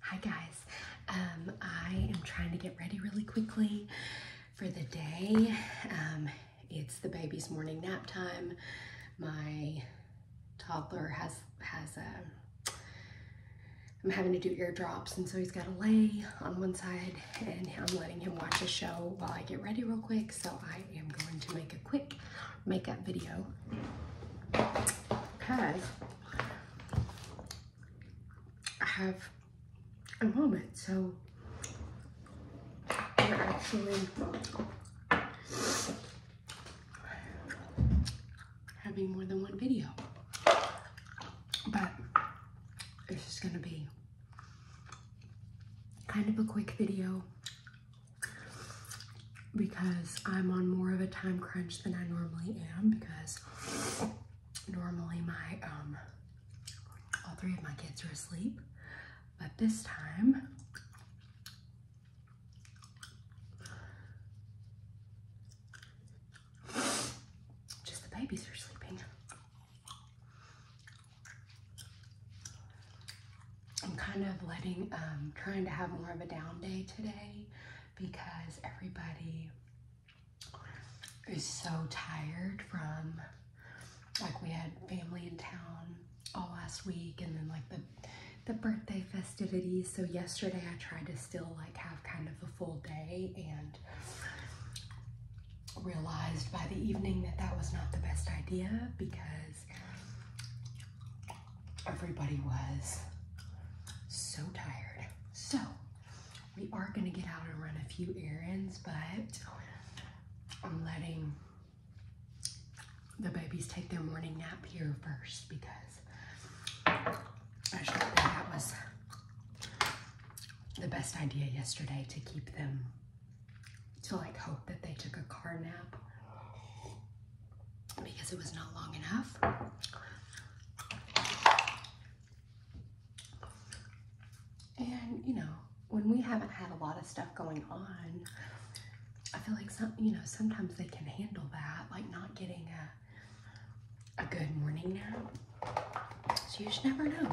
Hi guys, um, I am trying to get ready really quickly for the day. Um, it's the baby's morning nap time. My toddler has, has a, um, I'm having to do eardrops and so he's got to lay on one side and I'm letting him watch a show while I get ready real quick. So I am going to make a quick makeup video because have a moment. So we're actually having more than one video. But it's just gonna be kind of a quick video because I'm on more of a time crunch than I normally am because normally my um, all three of my kids are asleep but this time just the babies are sleeping I'm kind of letting um, trying to have more of a down day today because everybody is so tired from like we had family in town all last week and then like the the birthday festivities so yesterday I tried to still like have kind of a full day and realized by the evening that that was not the best idea because everybody was so tired. So we are gonna get out and run a few errands, but I'm letting the babies take their morning nap here first because I thought that was the best idea yesterday to keep them to like hope that they took a car nap because it was not long enough. And you know, when we haven't had a lot of stuff going on, I feel like some, you know, sometimes they can handle that, like not getting a, a good morning nap. So you just never know.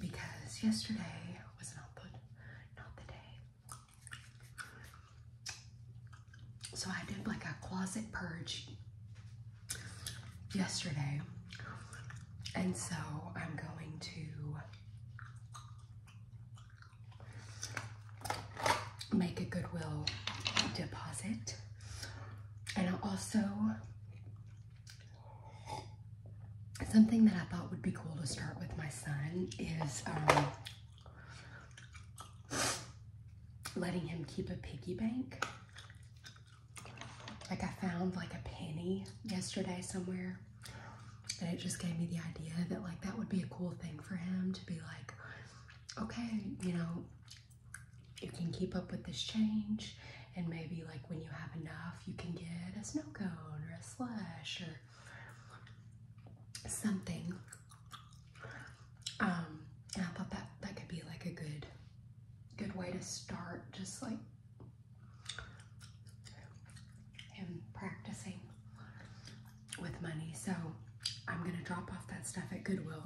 Because yesterday was not the, not the day, so I did like a closet purge yesterday. And so I'm going to make a Goodwill deposit. And I also, something that I thought would be cool to start with my son is um, letting him keep a piggy bank. Like I found like a penny yesterday somewhere and it just gave me the idea that like that would be a cool thing for him to be like, okay, you know, you can keep up with this change and maybe like when you have enough, you can get a snow cone or a slush or something um, and I thought that that could be like a good, good way to start, just like him practicing with money. So I'm gonna drop off that stuff at Goodwill,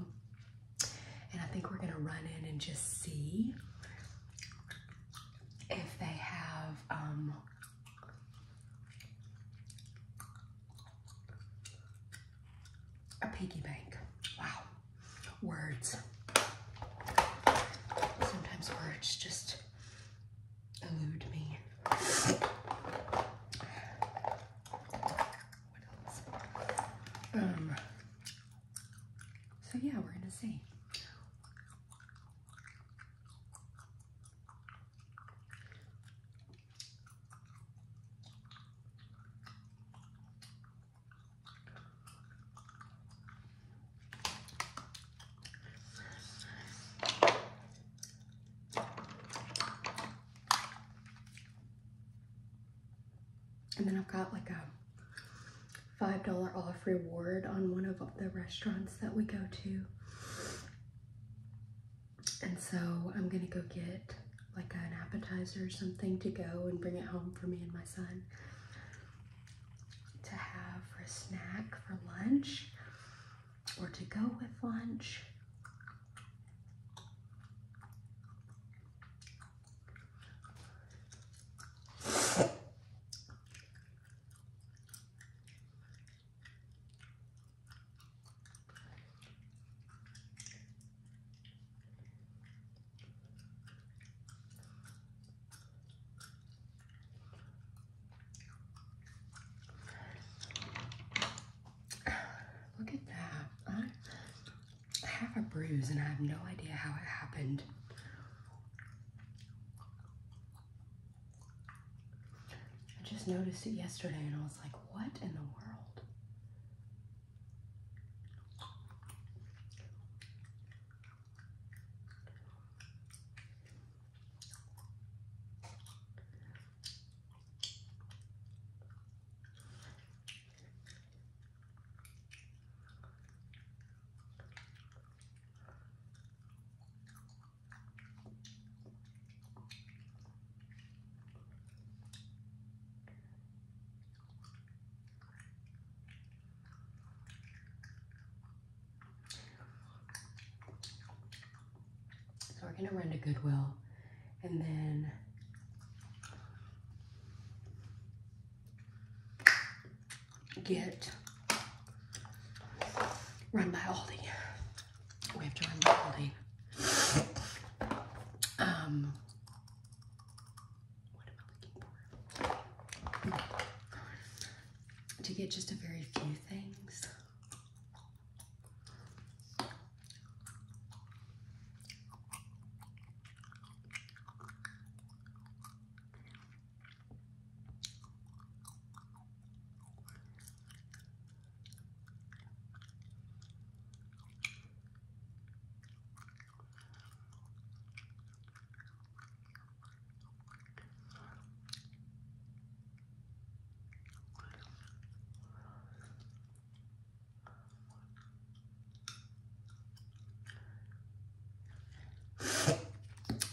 and I think we're gonna run in and just see if they have um, a piggy bank. Wow. Words. Sometimes words just elude me. Um, so yeah, we're gonna see. And then I've got like a $5 off reward on one of the restaurants that we go to and so I'm gonna go get like an appetizer or something to go and bring it home for me and my son to have for a snack for lunch or to go with lunch. Look at that. I, I have a bruise and I have no idea how it happened. I just noticed it yesterday and I was like, what in the world? So we're going to run to Goodwill and then get run by Aldi we have to remotely um what am I looking for? To get just a very few things.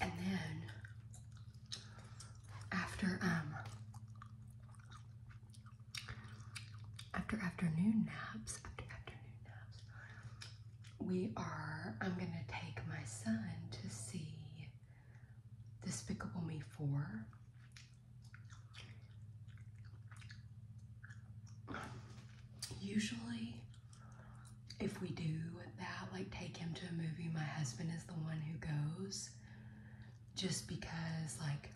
And then after um after afternoon naps, after afternoon naps, we are, I'm going to take my son to see Despicable Me 4. Usually, if we do that, like take him to a movie, my husband is the one who goes just because, like,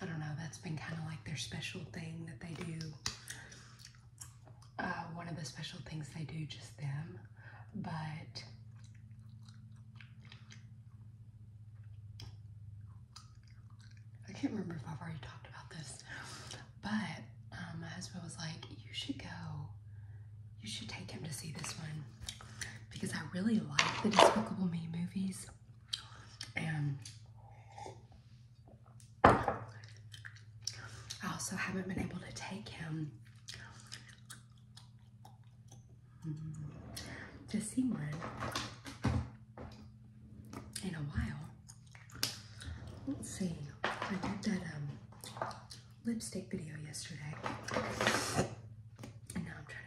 I don't know, that's been kind of like their special thing that they do. Uh, one of the special things they do, just them. But I can't remember if I've already talked about this, but um, my husband was like, You should go, you should take him to see this one because I really like the Despicable Me movies. And I also haven't been able to take him to see one in a while. Let's see. I did that um, lipstick video yesterday. And now I'm trying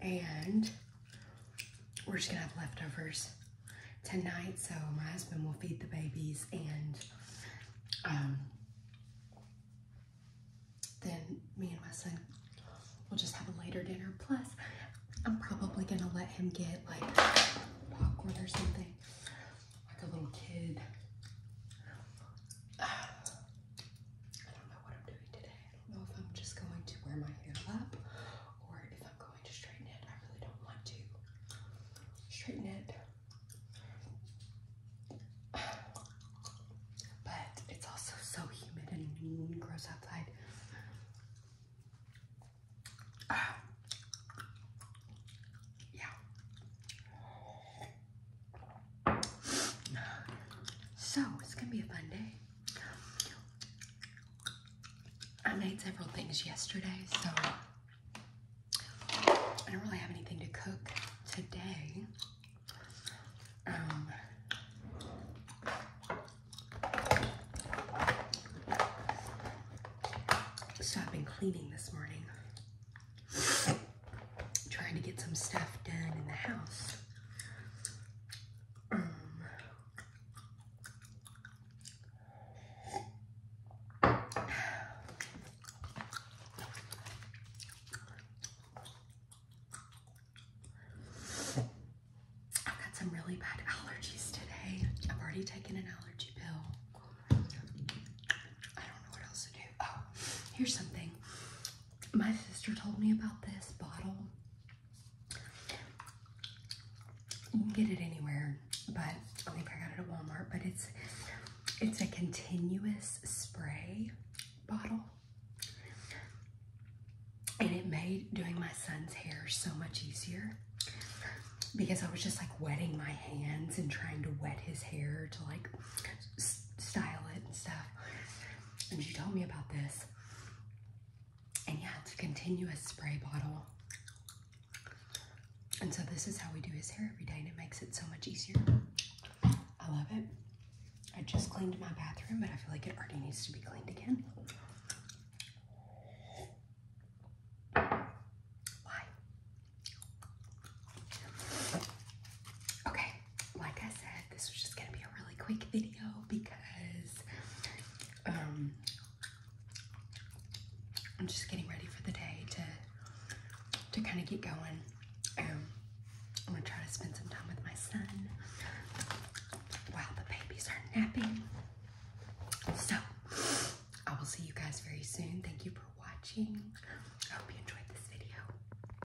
And we're just gonna have leftovers tonight, so my husband will feed the babies and um, then me and my son will just have a later dinner. Plus, I'm probably gonna let him get like popcorn or something, like a little kid. what I'm doing today. I don't know if I'm just going to wear my hair up or if I'm going to straighten it. I really don't want to straighten it. But it's also so humid and gross outside. yeah. So it's gonna be a fun day. I made several things yesterday, so I don't really have anything to cook today. Um, so I've been cleaning this morning trying to get some stuff done in the house. Um, I've got some really bad allergies today. I've already taken an allergy pill. I don't know what else to do. Oh, here's something my sister told me about this bottle. You can get it anywhere, but I think I got it at Walmart. But it's it's a continuous spray bottle. And it made doing my son's hair so much easier because I was just like wetting my hands and trying to wet his hair to like style it and stuff and she told me about this. And yeah, it's a continuous spray bottle. And so this is how we do his hair every day, and it makes it so much easier. I love it. I just cleaned my bathroom, but I feel like it already needs to be cleaned again. Why? Okay, like I said, this was just gonna be a really quick video because um, I'm just getting ready for the day to to kind of get going. Um, I'm gonna try to spend some time with my son while the babies are napping. So I will see you guys very soon. Thank you for watching. I hope you enjoyed this video.